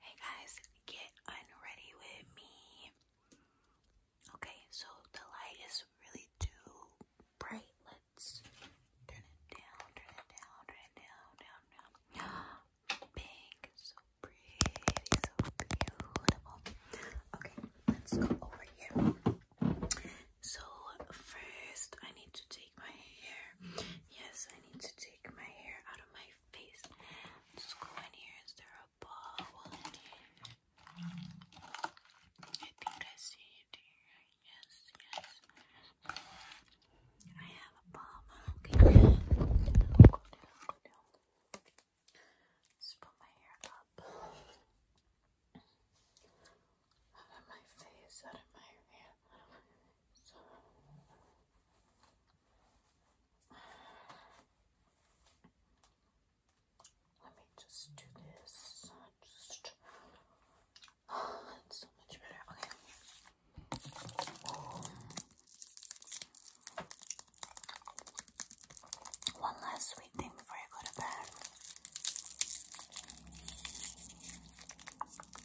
Hey guys, get unready with me. Okay, so the light is really too bright. Let's turn it down, turn it down, turn it down, down, down. Pink, so pretty, so beautiful. Okay, let's go over here. So first, I need to take my hair. Yes, I need to take my hair out of my face. Just go in here. Is there a bubble in here? I think I see it here. Yes, yes. I have a bomb. Okay. Go down, put my hair up out of my face, out of my hand, out Let me just do this. oh, so much better. Okay. One last sweet thing before I go to bed.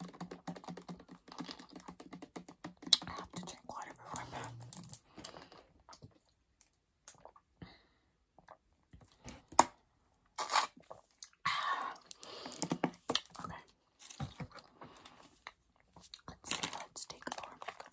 I have to drink water before bed. Okay. Let's let's take our makeup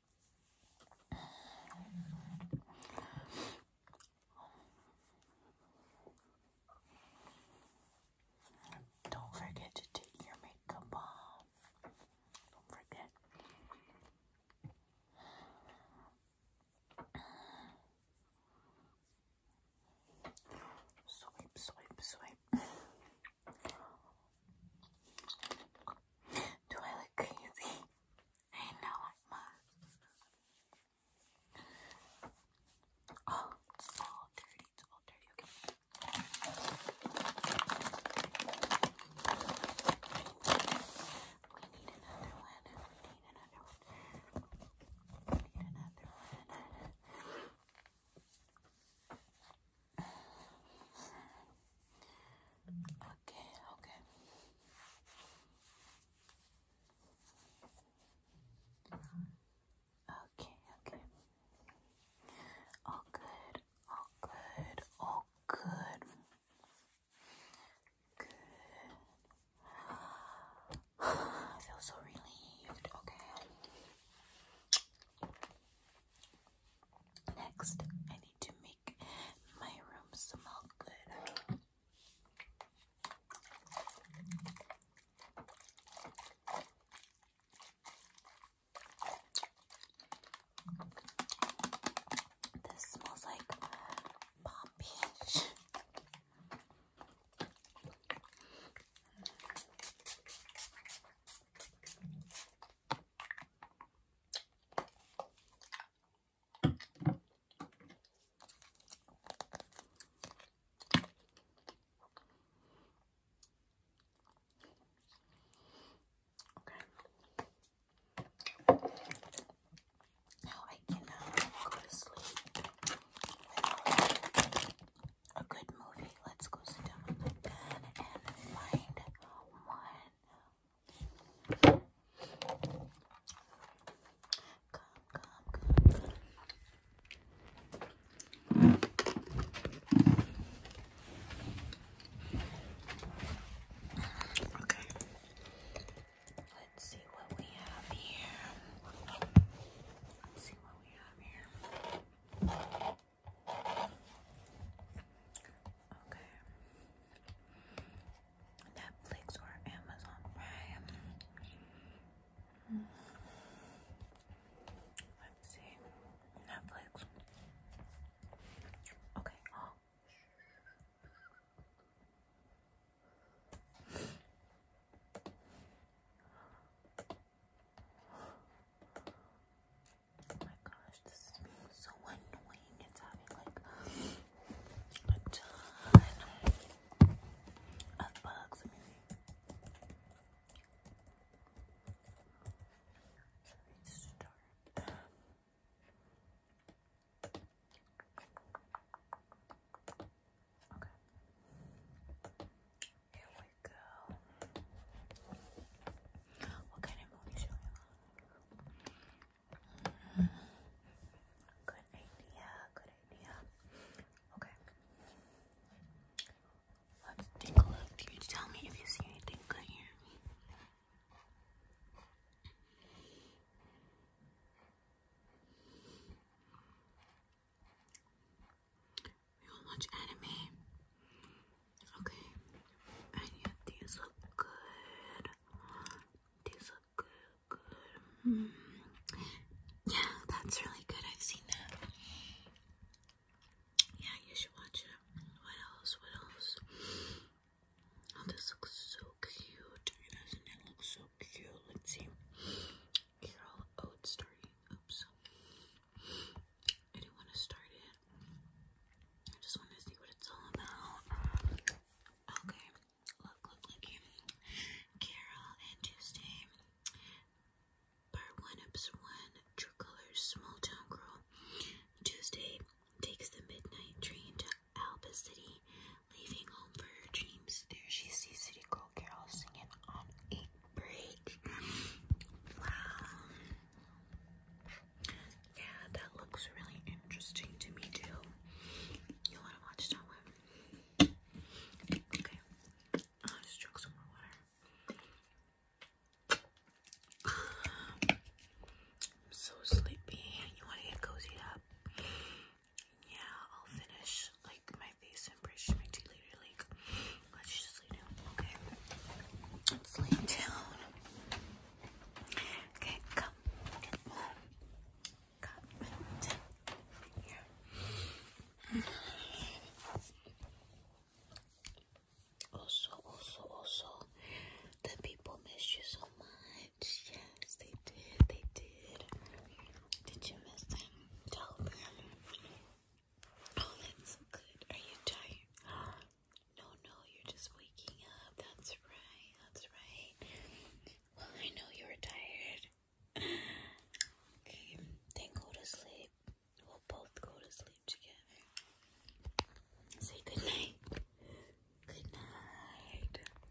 Don't forget to take your makeup off. Don't forget. Swipe, swipe, swipe. Do I look crazy? I Ain't not like mine. Oh, it's all dirty. It's all dirty. Okay. We need another one. We need another one. need another one. Okay, okay. Okay, okay. All good, all good, all good. Good. I feel so relieved. Okay. Next, I need to make my room smell good. This smells like poppy. Okay. Now I can go to sleep a good movie. Let's go sit down and find one. come, come, come. Okay. Let's see what we have here. Let's see what we have here. Okay. Netflix or Amazon Prime. Let's see. Netflix. Okay. Oh my gosh, this is so annoying. It's having like bugs. Okay. Here we go. What kind of movie should we watch? Hmm. Good idea, good idea. Okay. Let's take a look. you tell me if you see anything good here? We will watch anime. Okay. yeah, these look good. These look good, good. Hmm. Yeah, that's really good. I've seen that. Yeah, you should watch it. What else? What else? Oh, this looks so cute. Doesn't it look so cute? Let's see. Carol Oates starting. Oops. I didn't want to start it. I just want to see what it's all about. Okay. Look, look, look. Carol and Tuesday. Part one, episode one. True Colors, Small Town Girl. Tuesday takes the midnight train to Alba City Leaving home for her dreams, there she sees City Girl Carol singing on a bridge. Wow. Yeah, that looks really interesting to me too. You wanna watch that one? Okay. I'll just drink some more water. I'm so sleepy. You wanna get cozied up? yeah, I'll finish like my face and brush my teeth later. Like, let's just lay down. Okay, let's lay down. Okay, come, come, here. Also, also, also, the people miss you so much. Yes, they did. They did. Did you miss them? Tell Oh, that's so good. Are you tired? No, no, you're just waking up. That's right. That's right. Well, I know you were tired. Okay, then go to sleep. We'll both go to sleep together. Say good night. Good night.